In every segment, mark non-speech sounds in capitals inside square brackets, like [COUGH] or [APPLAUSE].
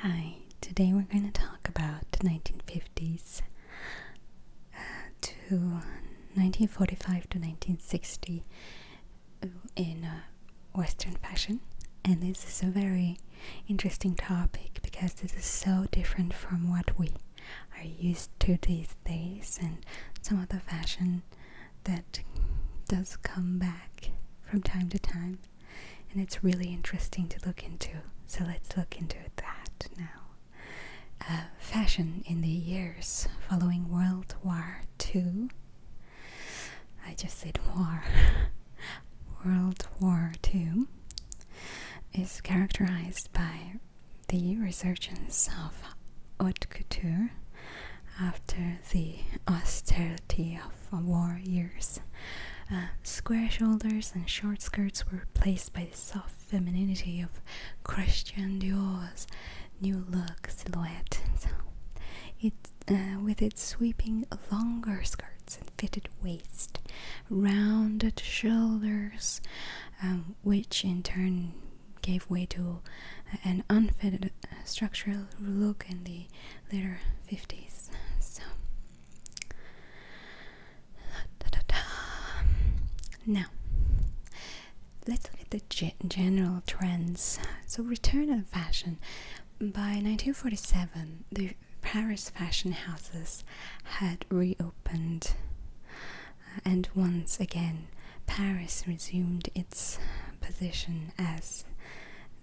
Hi, today we're going to talk about the 1950s uh, to 1945 to 1960 in uh, Western fashion. And this is a very interesting topic because this is so different from what we are used to these days, and some of the fashion that does come back from time to time and it's really interesting to look into. So let's look into that now. Uh, fashion in the years following World War II. I just said war. [LAUGHS] World War II is characterized by the resurgence of haute couture after the austerity of of war years. Um, square shoulders and short skirts were replaced by the soft femininity of Christian Dior's new look silhouette. it, uh, with its sweeping longer skirts and fitted waist, rounded shoulders, um, which in turn gave way to uh, an unfitted uh, structural look in the Later 50s. So, now let's look at the general trends. So, return of fashion. By 1947, the Paris fashion houses had reopened, and once again, Paris resumed its position as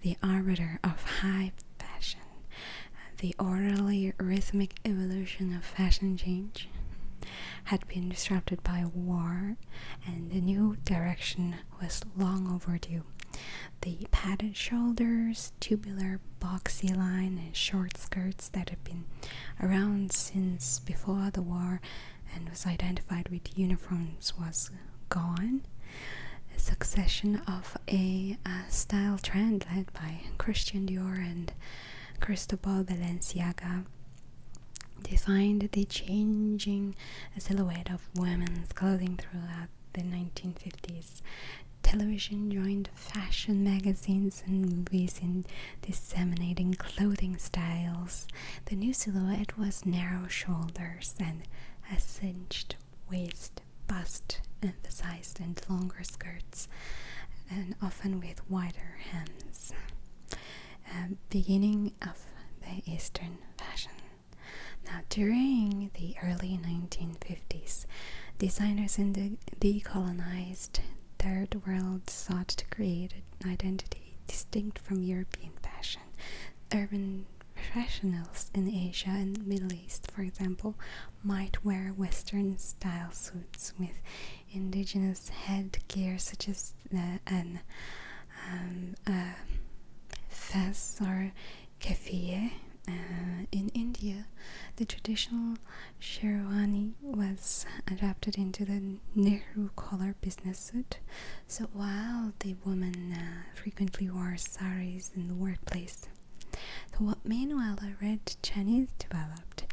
the arbiter of high fashion, the orderly rhythmic evolution of fashion change had been disrupted by war, and the new direction was long overdue. The padded shoulders, tubular boxy line, and short skirts that had been around since before the war and was identified with uniforms was gone, a succession of a, a style trend led by Christian Dior and Cristobal Balenciaga defined the changing silhouette of women's clothing throughout the 1950s. Television joined fashion magazines and movies in disseminating clothing styles. The new silhouette was narrow shoulders and a cinched waist, bust emphasized and longer skirts, and often with wider hems. Uh, beginning of the Eastern fashion. Now, during the early 1950s, designers in the decolonized Third World sought to create an identity distinct from European fashion. Urban professionals in Asia and Middle East, for example, might wear Western style suits with indigenous headgear such as uh, an um, fez or keffiyeh. Uh, in India, the traditional sherwani was adapted into the Nehru collar business suit. So while the women uh, frequently wore saris in the workplace, meanwhile, a red Chinese developed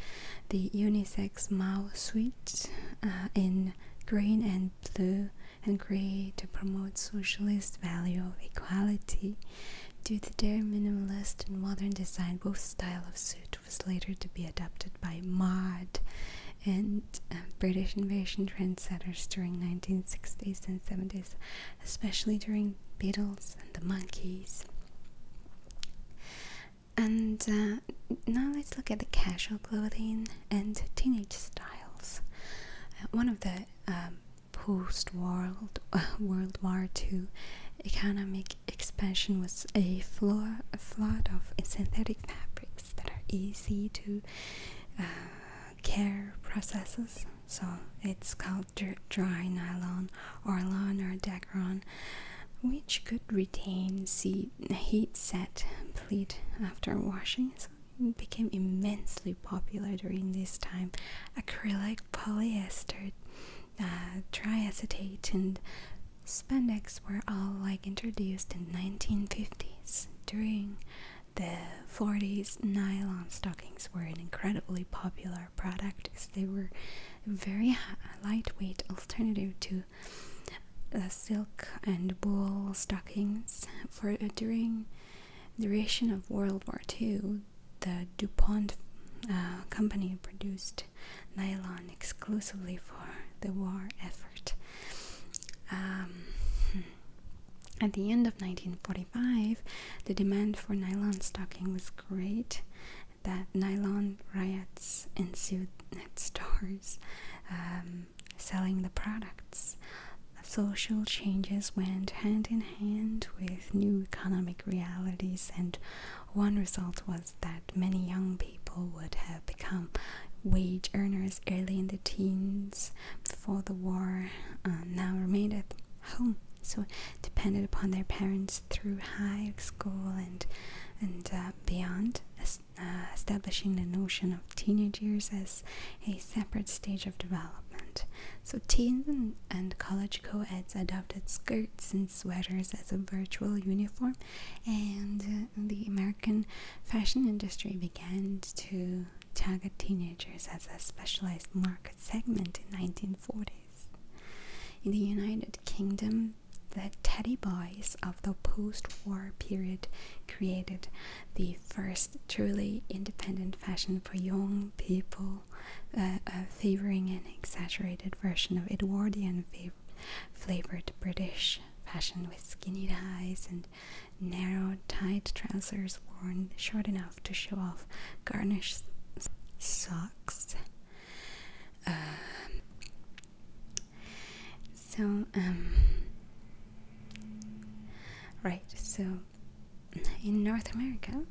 the unisex Mao suit uh, in green and blue and grey to promote socialist value of equality. Due to their minimalist and modern design, both style of suit was later to be adopted by mod and uh, British invasion trendsetters during 1960s and 70s especially during Beatles and the monkeys. And uh, now let's look at the casual clothing and teenage styles. Uh, one of the um, post World uh, [LAUGHS] World War II economic expansion was a, floor, flood of synthetic fabrics that are easy to uh, care processes so it's called dry nylon or lawn or dacron, which could retain heat set pleat after washing. So it became immensely popular during this time. Acrylic, polyester, uh, triacetate, and spandex were all like introduced in 1950s during the 40s nylon stockings were an incredibly popular product as they were very lightweight alternative to uh, silk and wool stockings for uh, during duration of World War II. The DuPont uh, company produced nylon exclusively for the war effort. Um, hmm. At the end of 1945, the demand for nylon stockings was great. That nylon riots ensued at stores um, selling the products. Social changes went hand in hand with new economic realities, and one result was that many young people would have become wage earners early in the teens before the war uh, now remained at home. So depended upon their parents through high school and and uh, beyond, uh, establishing the notion of teenage years as a separate stage of development. So teens and, college co-eds adopted skirts and sweaters as a virtual uniform, and uh, the American fashion industry began to target teenagers as a specialized market segment in 1940s. In the United Kingdom, the teddy boys of the post-war period created the first truly independent fashion for young people, uh, favoring an exaggerated version of Edwardian flavored British fashion with skinny ties and narrow, tight trousers worn short enough to show off garnished socks. Um, so, um, right, so in North America,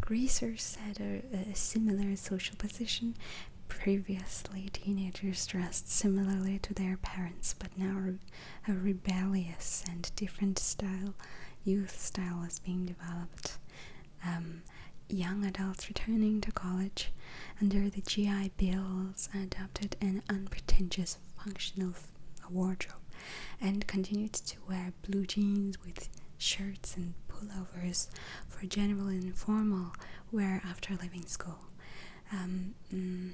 greasers had a similar social position. Previously, teenagers dressed similarly to their parents, but now a rebellious and different style, youth style was being developed. Um, young adults returning to college under the GI Bills adopted an unpretentious functional wardrobe and continued to wear blue jeans with shirts and pullovers for general informal wear after leaving school. Um, mm,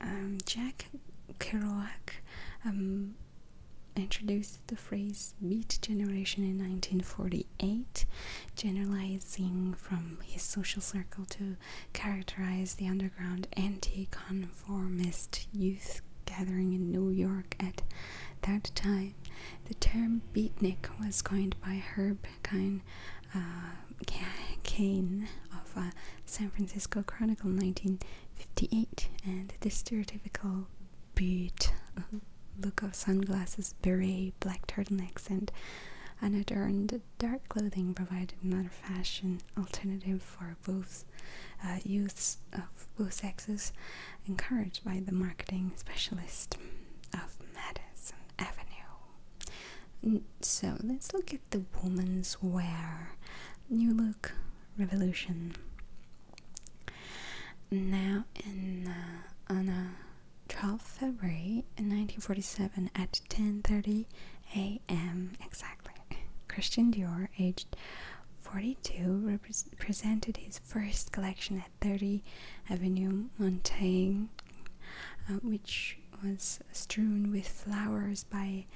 um, Jack Kerouac um, introduced the phrase beat generation in 1948, generalizing from his social circle to characterize the underground anti-conformist youth gathering in New York at that time. The term beatnik was coined by Herb Kine, uh, of uh, San Francisco Chronicle 1958 and the stereotypical beat uh, look of sunglasses, beret, black turtlenecks and unadorned dark clothing provided another fashion alternative for both uh, youths of both sexes encouraged by the marketing specialist of Madison Avenue. Mm, so let's look at the woman's wear. New look revolution. Now uh, on a 12th February in 1947 at 10:30 a.m. exactly, Christian Dior, aged 42, presented his first collection at 30 Avenue Montaigne, uh, which was strewn with flowers by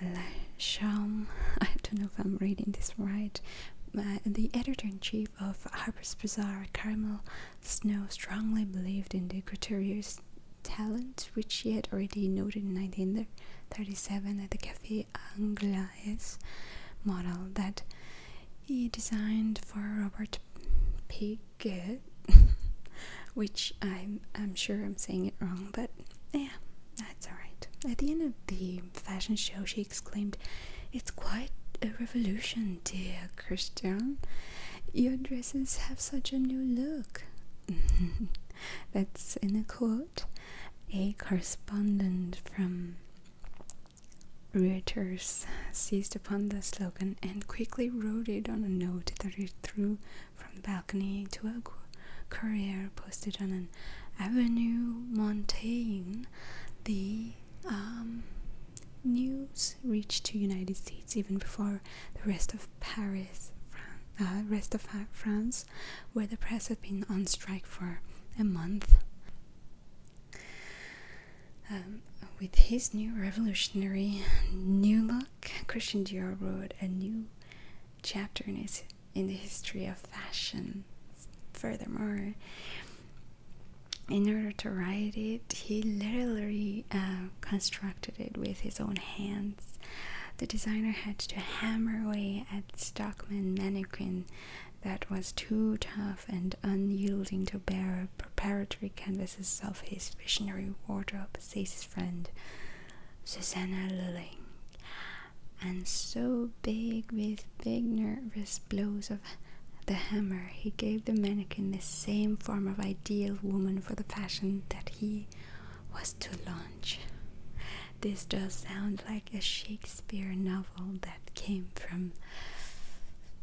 Lasham. [LAUGHS] I don't know if I'm reading this right. Uh, the editor-in-chief of Harper's Bazaar, Carmel Snow, strongly believed in the Couturier's talent, which she had already noted in 1937 at the Café Anglaise, model that he designed for Robert Pig good, [LAUGHS] which I'm I'm sure I'm saying it wrong, but yeah, that's alright. At the end of the fashion show, she exclaimed, "It's quite a revolution, dear Christian. Your dresses have such a new look." [LAUGHS] that's in a quote, a correspondent from. Reuters seized upon the slogan and quickly wrote it on a note that he threw from the balcony to a courier posted on an avenue Montaigne. The um, news reached the United States even before the rest of Paris, Fran uh, rest of France, where the press had been on strike for a month. Um, with his new revolutionary new look, Christian Dior wrote a new chapter in, his, in the history of fashion. Furthermore, in order to write it, he literally uh, constructed it with his own hands. The designer had to hammer away at Stockman mannequin that was too tough and unyielding to bear preparatory canvases of his visionary wardrobe, says his friend. Susanna Lulling, and so big with big nervous blows of the hammer, he gave the mannequin the same form of ideal woman for the fashion that he was to launch. This does sound like a Shakespeare novel that came from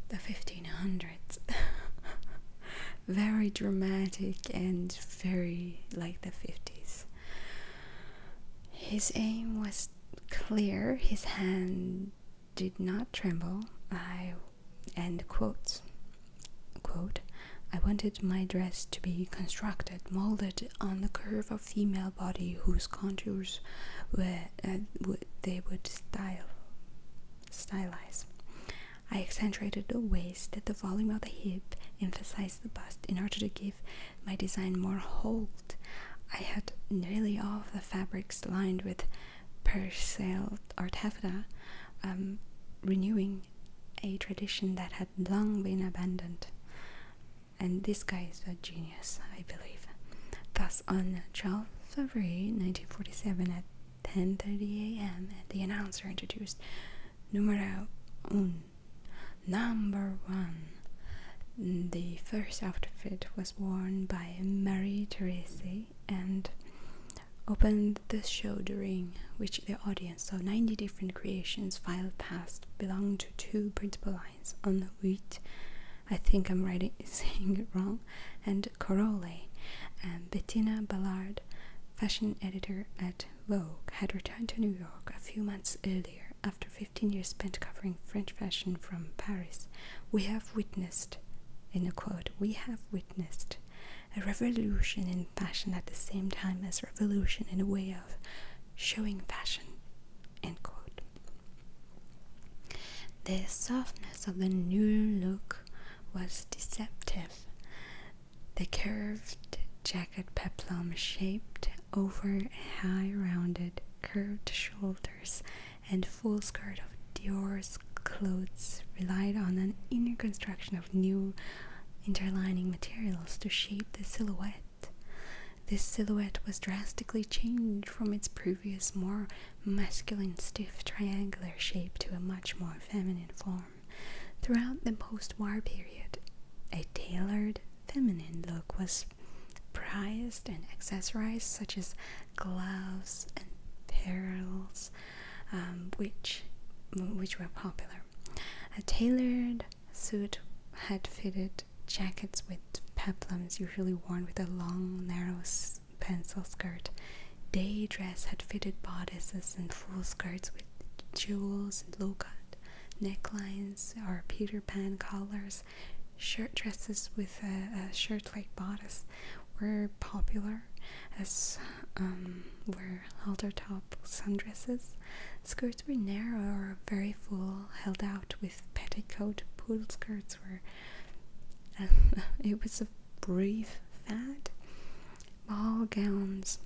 the 1500s. [LAUGHS] Very dramatic and very like the 50s. His aim was clear, his hand did not tremble. I and quotes quote I wanted my dress to be constructed, molded on the curve of female body whose contours were uh, they would style stylize. I accentuated the waist, the volume of the hip, emphasized the bust in order to give my design more hold. I had nearly all the fabrics lined with Persil or taffeta, um, renewing a tradition that had long been abandoned. And this guy is a genius, I believe. Thus, on 12 February 1947 at 10:30 a.m., the announcer introduced Número un. Number one. The first outfit was worn by Marie Therese and opened the show during which the audience saw 90 different creations filed past belong to two principal lines on wheat i think i'm writing [LAUGHS] saying it wrong and Corolle, and bettina ballard fashion editor at Vogue had returned to New York a few months earlier after 15 years spent covering French fashion from Paris. We have witnessed, in a quote, we have witnessed a revolution in fashion at the same time as revolution in a way of showing fashion, The softness of the new look was deceptive. The curved jacket peplum shaped over high rounded curved shoulders and full skirt of Dior's clothes relied on an inner construction of new interlining materials to shape the silhouette. This silhouette was drastically changed from its previous more masculine stiff triangular shape to a much more feminine form throughout the post-war period. A tailored feminine look was prized and accessorized such as gloves and pearls um, which which were popular. A tailored suit had fitted jackets with peplums usually worn with a long narrow pencil skirt. Day dress had fitted bodices and full skirts with jewels and low cut necklines or Peter Pan collars, shirt dresses with a, shirt like bodice were popular as um, were halter top sundresses. Skirts were narrow or very full, held out with petticoat. Poodle skirts were. [LAUGHS] it was a brief fad ball gowns,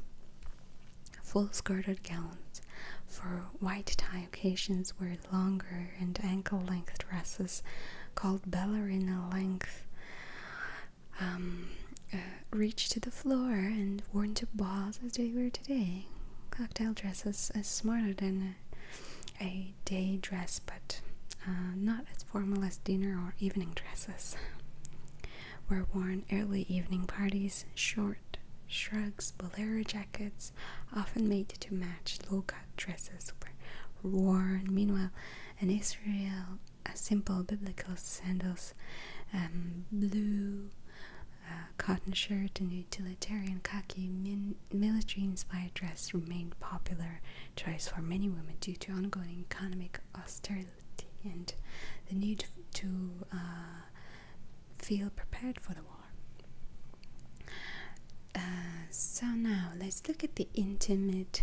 full skirted gowns for white tie occasions wear longer and ankle length dresses called ballerina length. Um, uh, reach to the floor and worn to balls as they were today. Cocktail dresses are smarter than a, day dress, but uh, not as formal as dinner or evening dresses were worn early evening parties, short shrugs, bolero jackets, often made to match low-cut dresses, were worn. Meanwhile, in Israel, a simple biblical sandals, um, blue uh, cotton shirt, and utilitarian khaki military-inspired dress remained popular choice for many women due to ongoing economic austerity and the need to uh, feel prepared for the war. Uh, so now let's look at the intimate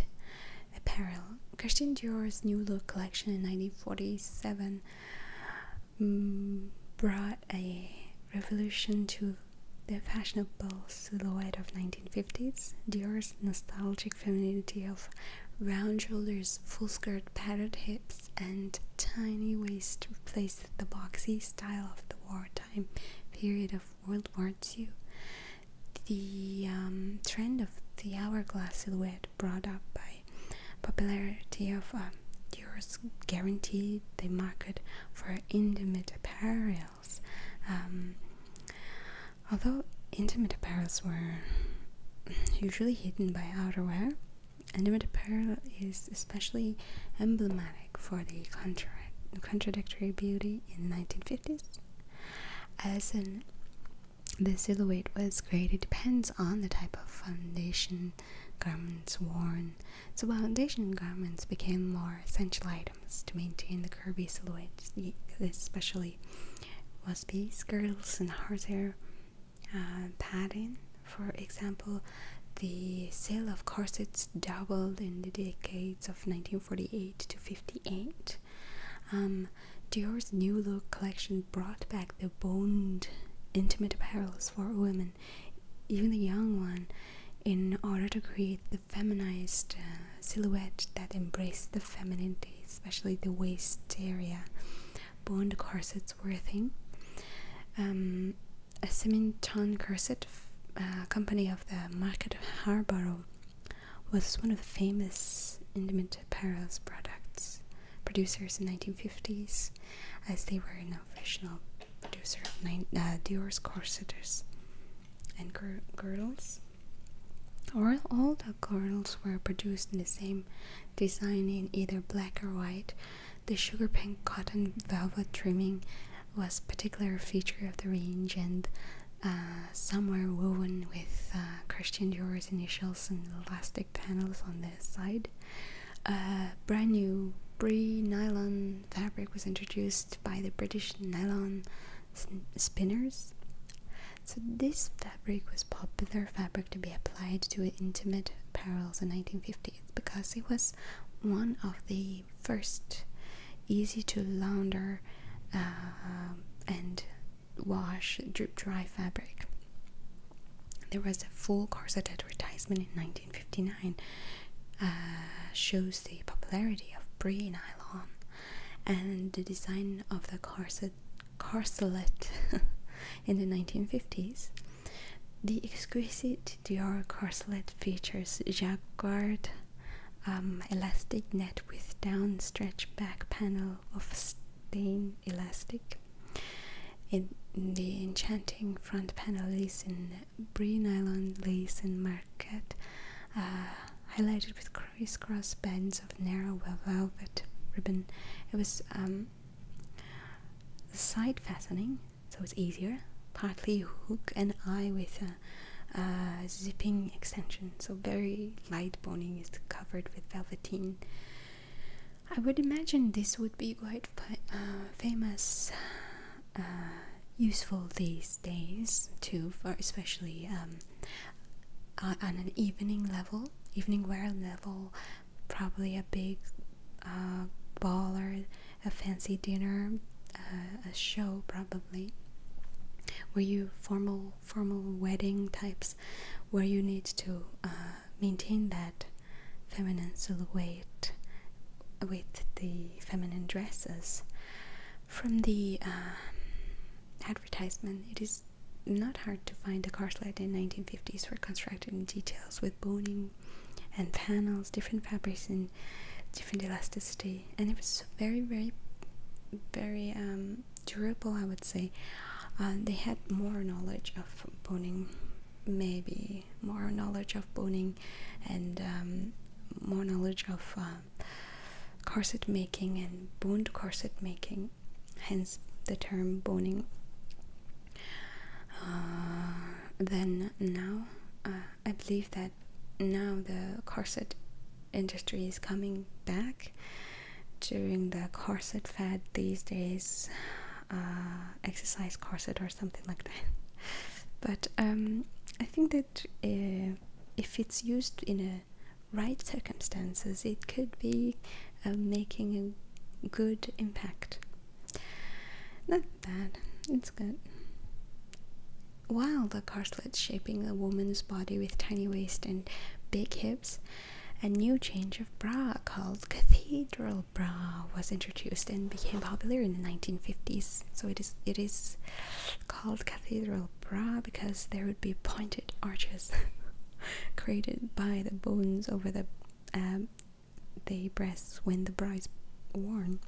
apparel. Christian Dior's new look collection in 1947 mm, brought a revolution to the fashionable silhouette of 1950s. Dior's nostalgic femininity of round shoulders, full skirt, padded hips, and tiny waist replaced the boxy style of the wartime period of World War II. The um, trend of the hourglass silhouette brought up by popularity of uh, Dior's guaranteed the market for intimate apparels. Um, although intimate apparels were usually hidden by outerwear, and intimate apparel is especially emblematic for the contradictory beauty in the 1950s. As an the silhouette was created depends on the type of foundation garments worn. So foundation garments became more essential items to maintain the curvy silhouette, especially was be skirts and horsehair uh, For example, the sale of corsets doubled in the decades of 1948 to 58. Um, Dior's new look collection brought back the boned intimate apparels for women, even the young one, in order to create the feminized uh, silhouette that embraced the femininity, especially the waist area bond corsets were a thing. Um, a Simington corset uh, company of the market of Harborough was one of the famous intimate apparel's products producers in 1950s as they were an original producer of nine, uh, Dior's corseters and gir girdles. Or all the girdles were produced in the same same design in either black or white. The sugar pink cotton velvet trimming was a particular feature of the range, and uh, some were woven with uh, Christian Dior's initials and elastic panels on the side. brand new Brie nylon fabric was introduced by the British nylon spinners. So this fabric was popular fabric to be applied to intimate apparel in 1950s because it was one of the first easy to launder uh, and wash drip dry fabric. There was a full corset advertisement in 1959, uh, shows the popularity of pre nylon, and the design of the corset Carcelet [LAUGHS] in the 1950s. The exquisite Dior corselet features jacquard um, elastic net with down downstretched back panel of stain elastic. the enchanting front panel is in brie nylon lace and marquette, uh, highlighted with crisscross bands of narrow velvet ribbon. It was um, side fastening, so it's easier. Partly hook and eye with a, zipping extension, so very light boning is covered with velveteen. I would imagine this would be quite uh, famous, uh, useful these days too, for especially um, on an evening level, evening wear level, probably a big uh, ball a fancy dinner, uh, a show probably, where you formal formal wedding types, where you need to uh, maintain that feminine silhouette with the feminine dresses. From the um, advertisement, It is not hard to find the corset. like the 1950s were constructed in details with boning and panels, different fabrics and different elasticity, and it was very, very, very um, durable. I would say uh, they had more knowledge of boning, maybe more knowledge of boning, and um, more knowledge of uh, corset making and boned corset making hence the term boning. Uh, then now, uh, I believe that now the corset industry is coming back during the corset fad these days, uh, exercise corset or something like that. [LAUGHS] But um, I think that if it's used in a right circumstances, it could be of making a good impact. Not bad, it's good. While the corselet shaping the woman's body with tiny waist and big hips, a new change of bra called cathedral bra was introduced and became popular in the 1950s. So it is it is called cathedral bra because there would be pointed arches [LAUGHS] [LAUGHS] created by the bones over the um, breasts when the bride's worn.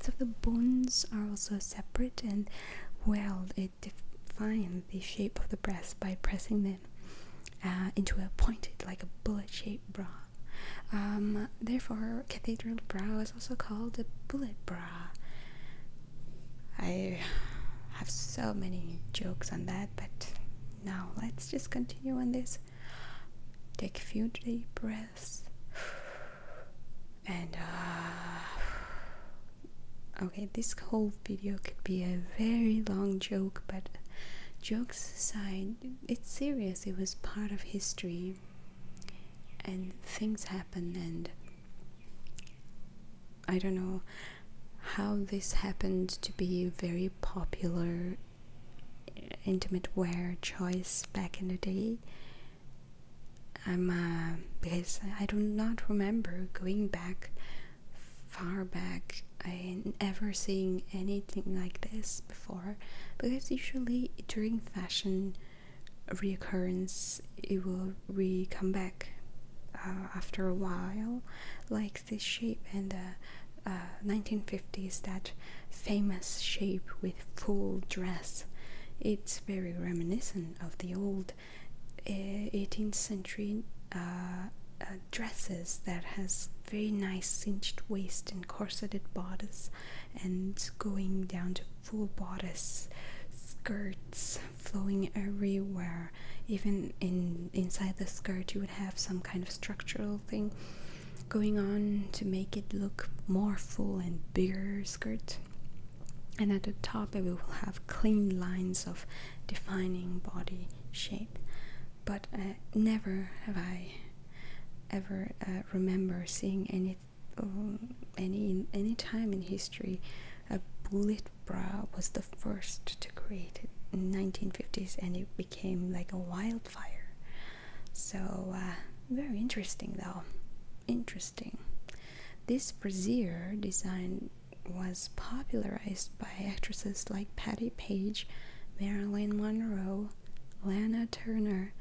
So the bones are also separate and well, it defines the shape of the breast by pressing them uh, into a pointed like a bullet-shaped bra. Um, therefore, cathedral bra is also called a bullet bra. I have so many jokes on that, but now let's just continue on this. Take a few deep breaths and uh, okay, this whole video could be a very long joke, but jokes aside, it's serious. It was part of history, and things happen, and I don't know how this happened to be a very popular intimate wear choice back in the day. I'm uh, because I do not remember going back far back I never seeing anything like this before because usually during fashion reoccurrence it will re come back uh, after a while like this shape and the 1950s uh, that famous shape with full dress it's very reminiscent of the old 18th uh, century uh, dresses that has very nice cinched waist and corseted bodice and going down to full bodice skirts flowing everywhere even in inside the skirt you have some kind of structural thing going on to make it look more full and bigger skirt and at the top we will have clean lines of defining body shape but uh, never have i ever uh, remember seeing any um, any any time in history a bullet bra was the first to create it in 1950s and it became like a wildfire so uh, very interesting though interesting this brassiere design was popularized by actresses like Patty Page, Marilyn Monroe, Lana Turner,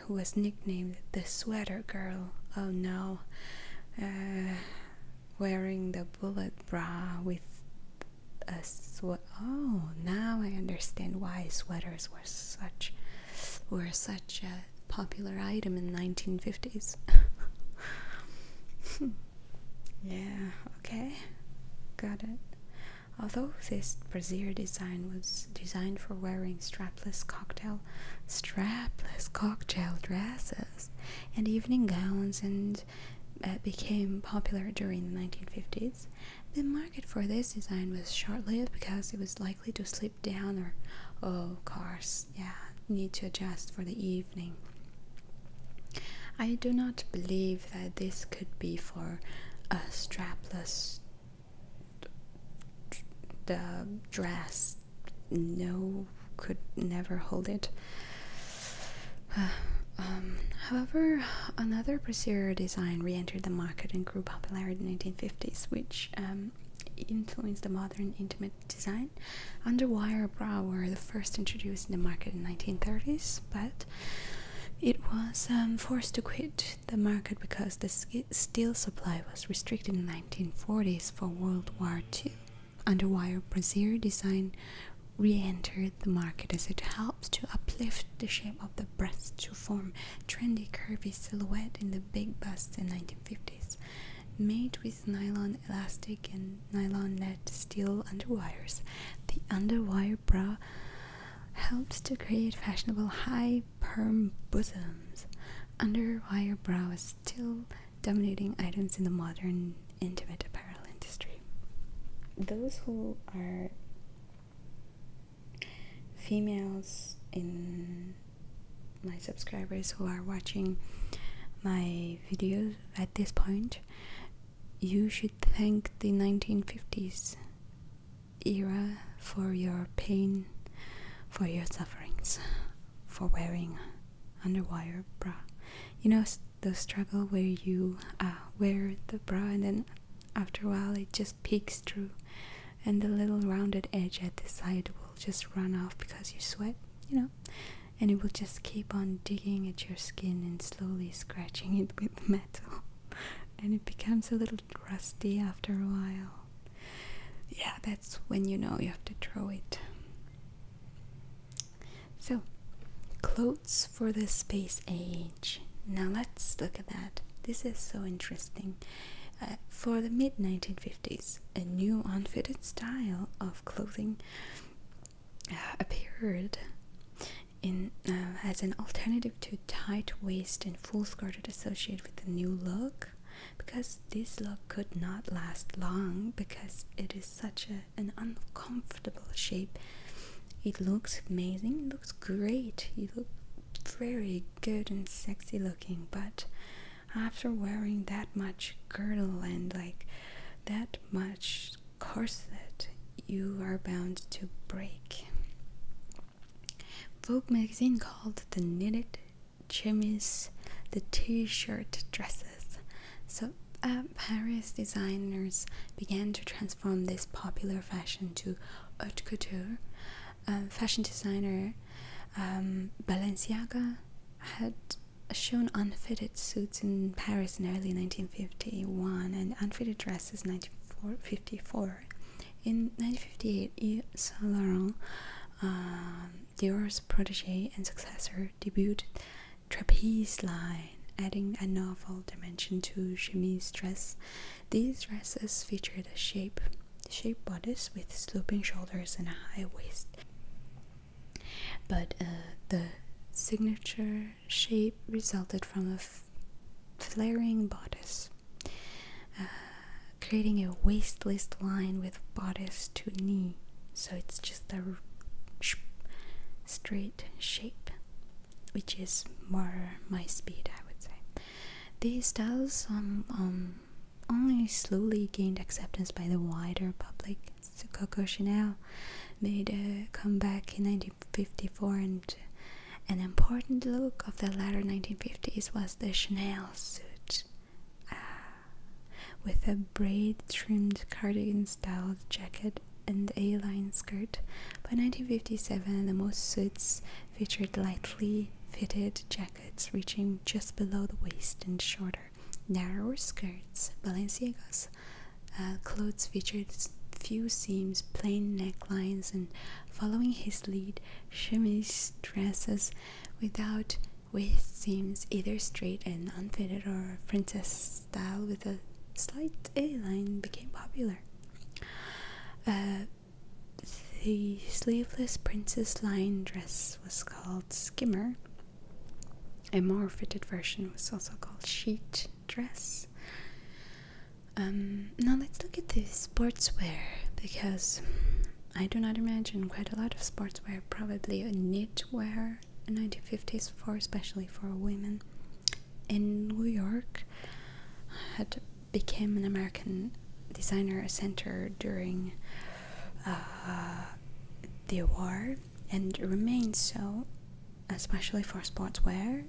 who was nicknamed the Sweater Girl. Oh no, uh, wearing the bullet bra with Oh, now I understand why sweaters were such were such a popular item in 1950s. [LAUGHS] yeah. Okay. Got it. Although this brassiere design was designed for wearing strapless cocktail, strapless cocktail dresses and evening gowns and and uh, became popular during the 1950s. The market for this design was short-lived because it was likely to slip down or, oh, course, yeah, need to adjust for the evening. I do not believe that this could be for a strapless dress. No, could never hold it. [SIGHS] Um, however, another brassiere design re-entered the market and grew popularity in the 1950s, which um, influenced the modern intimate design. Underwire bra were the first introduced in the market in the 1930s, but it was um, forced to quit the market because the steel supply was restricted in the 1940s for World War II underwire brassiere design re-entered the market as it helps to uplift the shape of the breast to form trendy curvy silhouette in the big bust in 1950s made with nylon elastic and nylon net steel underwires the underwire bra helps to create fashionable high perm bosoms underwire bra is still dominating items in the modern intimate apparel industry those who are females in my subscribers who are watching my videos at this point, you should thank the 1950s era for your pain, for your sufferings, for wearing underwire bra you know the struggle where you uh, wear the bra and then after a while it just peeks through and the little rounded edge at the side will just run off because you sweat you know and it will just keep on digging at your skin and slowly scratching it with [LAUGHS] metal and it becomes a little rusty after a while yeah that's when you know you have to throw it so, clothes for the space age. Now let's look at that. This is so interesting. Uh, for the mid 1950s, a new unfitted style of clothing uh, appeared in uh, as an alternative to tight waist and full skirted, associated with the new look because this look could not last long because it is such a an uncomfortable shape. It looks amazing, it looks great, you look very good and sexy looking, but after wearing that much girdle and like that much corset, you are bound to break. Vogue magazine called the knitted chemise the t shirt dresses so Paris uh, designers began to transform this popular fashion to haute couture. fashion designer um, Balenciaga had shown unfitted suits in Paris in early 1951 and unfitted dresses in 1954. In 1958, Yves Saint Laurent, um, Dior's protege and successor, debuted trapeze line, adding a novel dimension to chemise dress. These dresses featured a shape shaped bodice with sloping shoulders and a high waist. But uh, the signature shape resulted from a flaring bodice, uh, creating a waistless line with bodice to knee. So it's just a straight shape, which is more my speed, I would say. These styles um, um only slowly gained acceptance by the wider public. So Coco Chanel made a comeback in 1954 and an important look of the latter 1950s was the Chanel suit ah, with a braid-trimmed cardigan-style jacket and A-line skirt. By 1957, the most suits featured lightly fitted jackets reaching just below the waist and shorter, narrower skirts. Balenciaga's uh, clothes featured few seams, plain necklines, and following his lead, chemise dresses without waist seams, either straight and unfitted or princess style with a slight A line became popular. Uh, the sleeveless princess line dress was called skimmer. A more fitted version was also called sheet dress. Um, now let's look at the sportswear because I do not imagine quite a lot of sportswear, probably a knitwear, a 1950s for especially for women in New York had become an American designer center during uh, the war and remained so, especially for sportswear.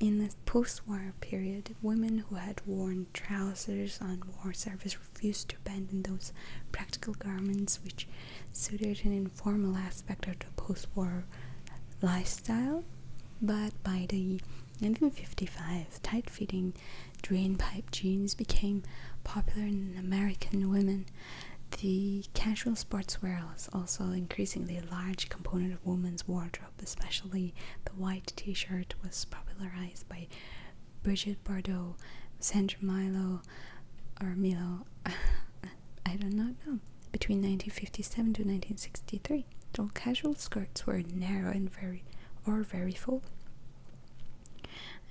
In the post-war period, women who had worn trousers on war service refused to abandon those practical garments which suited an informal aspect of the post-war lifestyle, but by the 1955, tight-fitting drain-pipe jeans became popular in American women. The casual sportswear is also increasingly a large component of women's wardrobe, especially the white t-shirt was popularized by Brigitte Bardot, Sandra Milo, or I do not know. Between 1957 to 1963, all casual skirts were narrow and very or very full.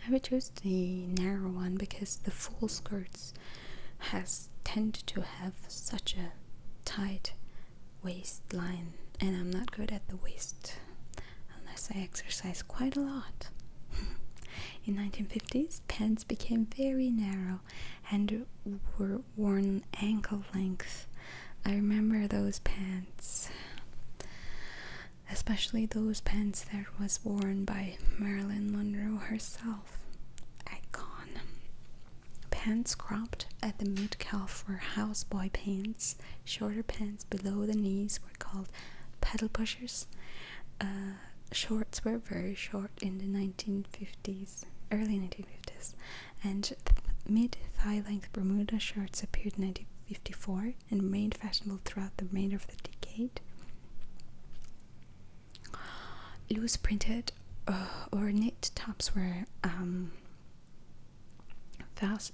I would choose the narrow one because the full skirts has tend to have such a tight waistline and I'm not good at the waist unless I exercise quite a lot. [LAUGHS] In 1950s, pants became very narrow and were worn ankle length. I remember those pants. Especially those pants that was worn by Marilyn Monroe herself. Icon. Pants cropped at the mid calf were houseboy pants. Shorter pants below the knees were called pedal pushers. Uh, shorts were very short in the 1950s, early 1950s, and mid thigh length Bermuda shorts appeared in 1954 and remained fashionable throughout the remainder of the decade. Loose printed uh, or knit tops were um,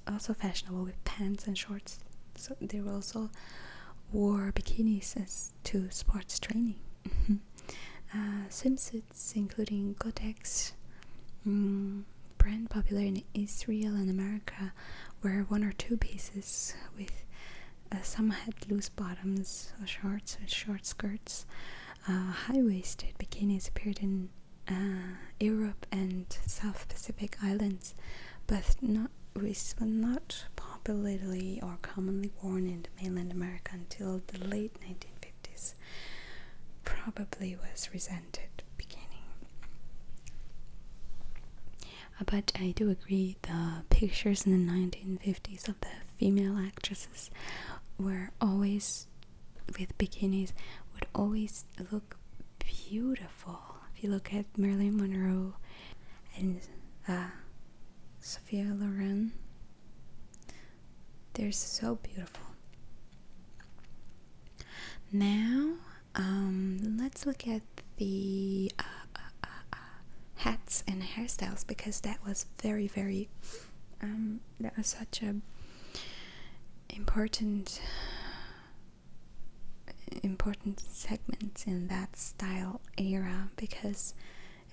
also fashionable with pants and shorts. So they were also wore bikinis as to sports training. Mm-hmm. Uh, swimsuits, including Gotex, mm, brand popular in Israel and America, where one or two pieces with uh, some had loose bottoms, shorts with short skirts. Uh, high-waisted bikinis appeared in Europe and South Pacific islands, but not was not popularly or commonly worn in mainland America until the late 1950s, probably was resented beginning. Uh, but I do agree the pictures in the 1950s of the female actresses were always with bikinis would always look beautiful. If you look at Marilyn Monroe and uh, Sophia Loren, they're so beautiful. Now, um, let's look at the uh, uh, uh, hats and hairstyles because that was very, very um, that was such a important important segments in that style era because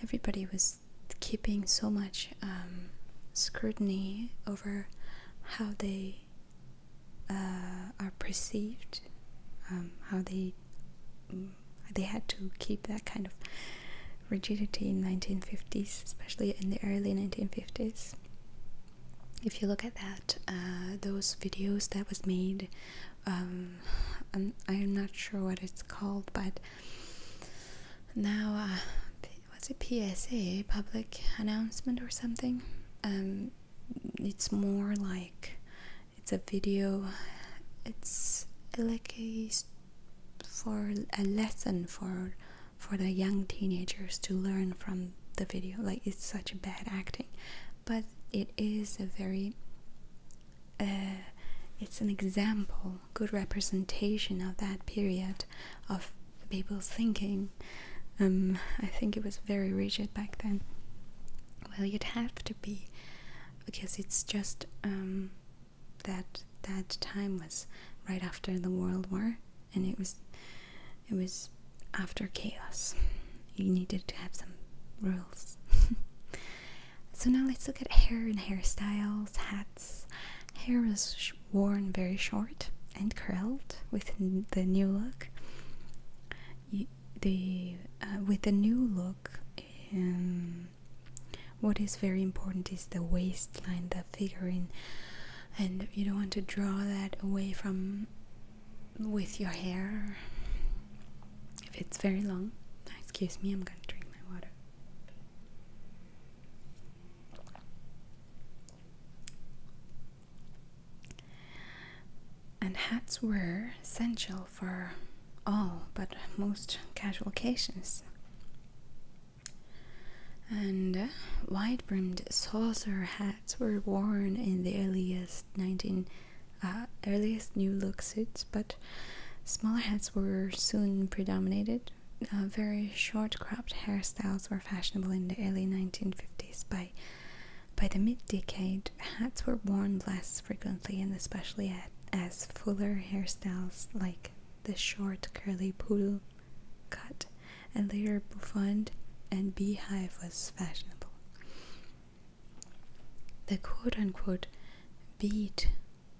everybody was keeping so much um, scrutiny over how they uh, are perceived, um, how they mm, they had to keep that kind of rigidity in 1950s, especially in the early 1950s. If you look at that, uh, those videos that was made, um, I'm, I'm not sure what it's called, but now uh, what's a PSA public announcement or something um it's more like it's a video it's like a for a lesson for for the young teenagers to learn from the video like it's such bad acting but it is a very uh, it's an example, good representation of that period of people's thinking. Um, I think it was very rigid back then. Well, you'd have to be, because it's just um, that that time was right after the World War, and it was it was after chaos. You needed to have some rules. [LAUGHS] So now let's look at hair and hairstyles, hats. Hair was worn very short and curled with the new look. the uh, with the new look, um, what is very important is the waistline, the figurine, and you don't want to draw that away from with your hair if it's very long. Excuse me, I'm gonna drink my water. And hats were essential for all but most casual occasions. And uh, wide brimmed saucer hats were worn in the earliest 19 uh, earliest new look suits, but Smaller heads were soon predominated. Uh, very short cropped hairstyles were fashionable in the early 1950s. By, by the mid decade, hats were worn less frequently and especially as fuller hairstyles like the short curly poodle cut and later bouffant and beehive was fashionable. The quote unquote beat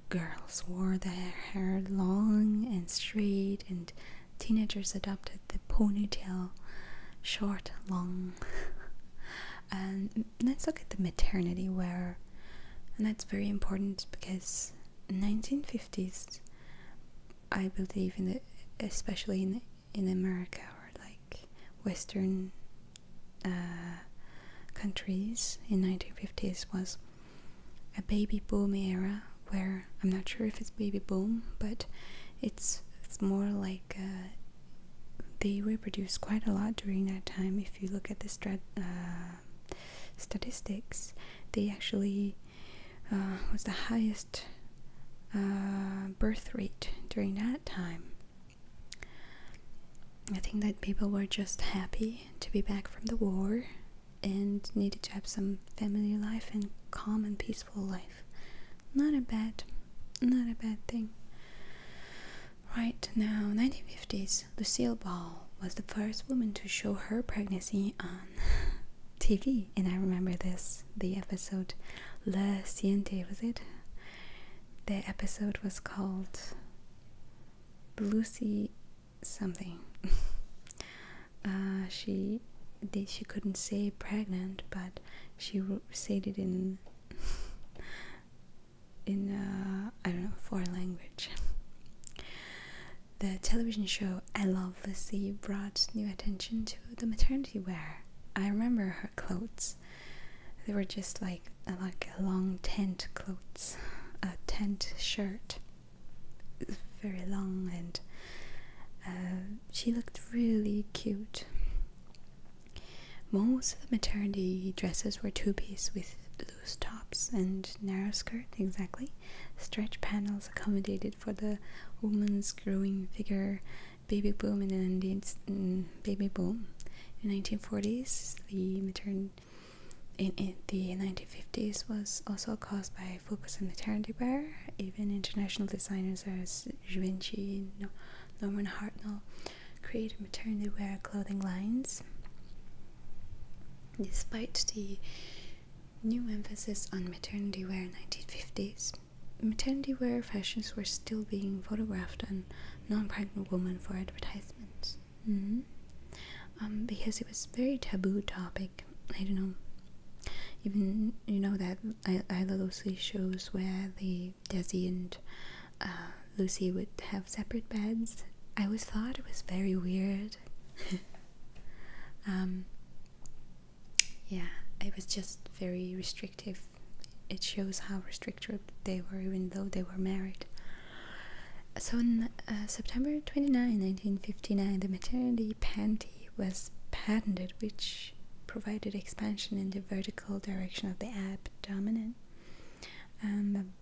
Girls wore their hair long and straight, and teenagers adopted the ponytail short, long. and let's look at the maternity wear, and that's very important because 1950s, I believe in the especially in in America or like Western uh, countries in 1950s was a baby boom era where I'm not sure if it's baby boom, but it's more like uh, they reproduce quite a lot during that time. If you look at the strat, uh, statistics, they actually was the highest birth rate during that time. I think that people were just happy to be back from the war and needed to have some family life and calm and peaceful life. Not a bad, not a bad thing. Right now, 1950s, Lucille Ball was the first woman to show her pregnancy on TV, and I remember this the episode La Siente, was it? The episode was called Lucy something. [LAUGHS] Uh, she they, she couldn't say pregnant, but she said it in [LAUGHS] in uh, I don't know foreign language. [LAUGHS] the television show I Love Lucy brought new attention to the maternity wear. I remember her clothes; they were just like like a long tent clothes, a tent shirt, very long, and uh, she looked really cute. Most of the maternity dresses were two-piece with loose tops and narrow skirt, exactly. Stretch panels accommodated for the woman's growing figure, baby boom, in the mm, baby boom. In 1940s, the maternity in, the 1950s was also caused by focus on maternity wear. Even international designers as Givenchy, no, Norman Hartnell created maternity wear clothing lines. Despite the new emphasis on maternity wear in 1950s, maternity wear fashions were still being photographed on non-pregnant women for advertisements. -hmm. um, because it was a very taboo topic. I don't know. Even you know that I I love those shows where the Desi and uh, Lucy would have separate beds. I always thought it was very weird. [LAUGHS] um, yeah, it was just very restrictive. It shows how restrictive they were, even though they were married. So on uh, September 29, 1959, the maternity panty was patented, which provided expansion in the vertical direction of the abdomen. Um,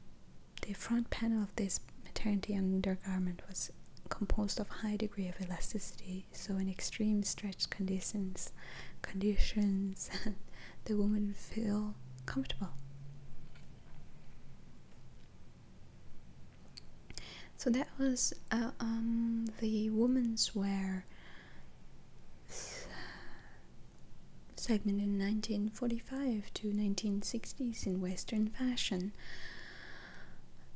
the front panel of this maternity undergarment was composed of high degree of elasticity, so in extreme stretch conditions, conditions, [LAUGHS] the woman feel comfortable. So that was uh, um, the women's wear segment in 1945 to 1960s in Western fashion.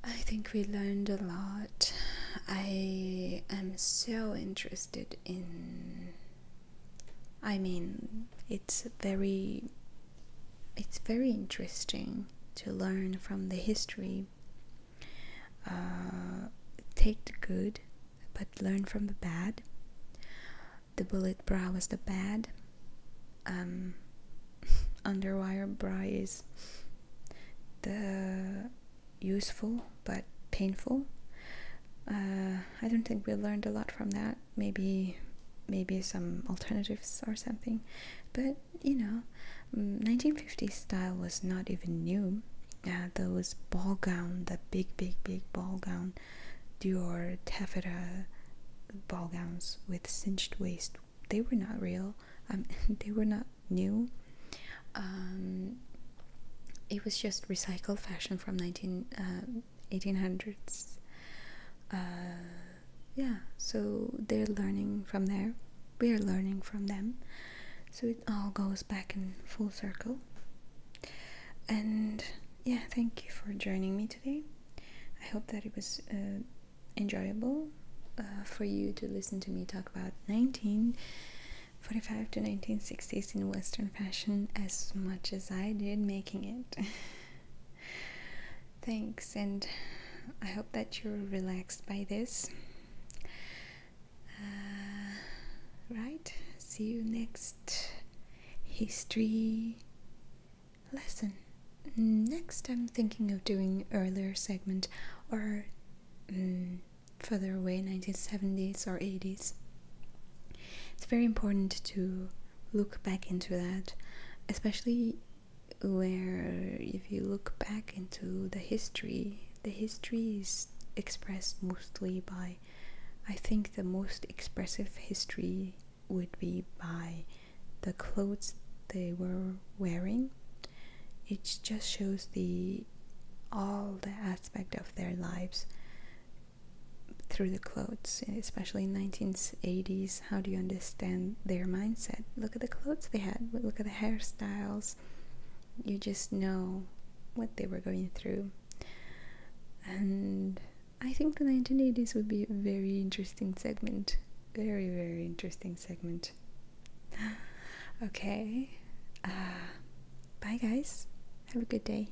I think we learned a lot. I am so interested in I mean, it's very it's very interesting to learn from the history. Uh, take the good, but learn from the bad. The bullet bra was the bad. Um, [LAUGHS] underwire bra is the useful but painful. Uh, I don't think we learned a lot from that maybe maybe some alternatives or something but you know 1950s mm, style was not even new uh, those ball gown the big big big ball gown dior taffeta ball gowns with cinched waist they were not real um, [LAUGHS] they were not new um, it was just recycled fashion from 19, uh, 1800s. Uh, yeah, so they're learning from there. We are learning from them. So it all goes back in full circle. And yeah, thank you for joining me today. I hope that it was uh, enjoyable uh, for you to listen to me talk about 1945 to 1960s in Western fashion as much as I did making it. [LAUGHS] Thanks, and I hope that you're relaxed by this. Uh, right, see you next history lesson. Next, I'm thinking of doing earlier segment or mm, further away, 1970s or 80s. It's very important to look back into that, especially where if you look back into the history, the history is expressed mostly by, I think the most expressive history would be by the clothes they were wearing. It just shows the all the aspect of their lives through the clothes, especially in 1980s. How do you understand their mindset? Look at the clothes they had. Look at the hairstyles. You just know what they were going through. And I think the 1980s would be a very interesting segment. Very, very interesting segment. [SIGHS] okay. Uh, bye, guys. Have a good day.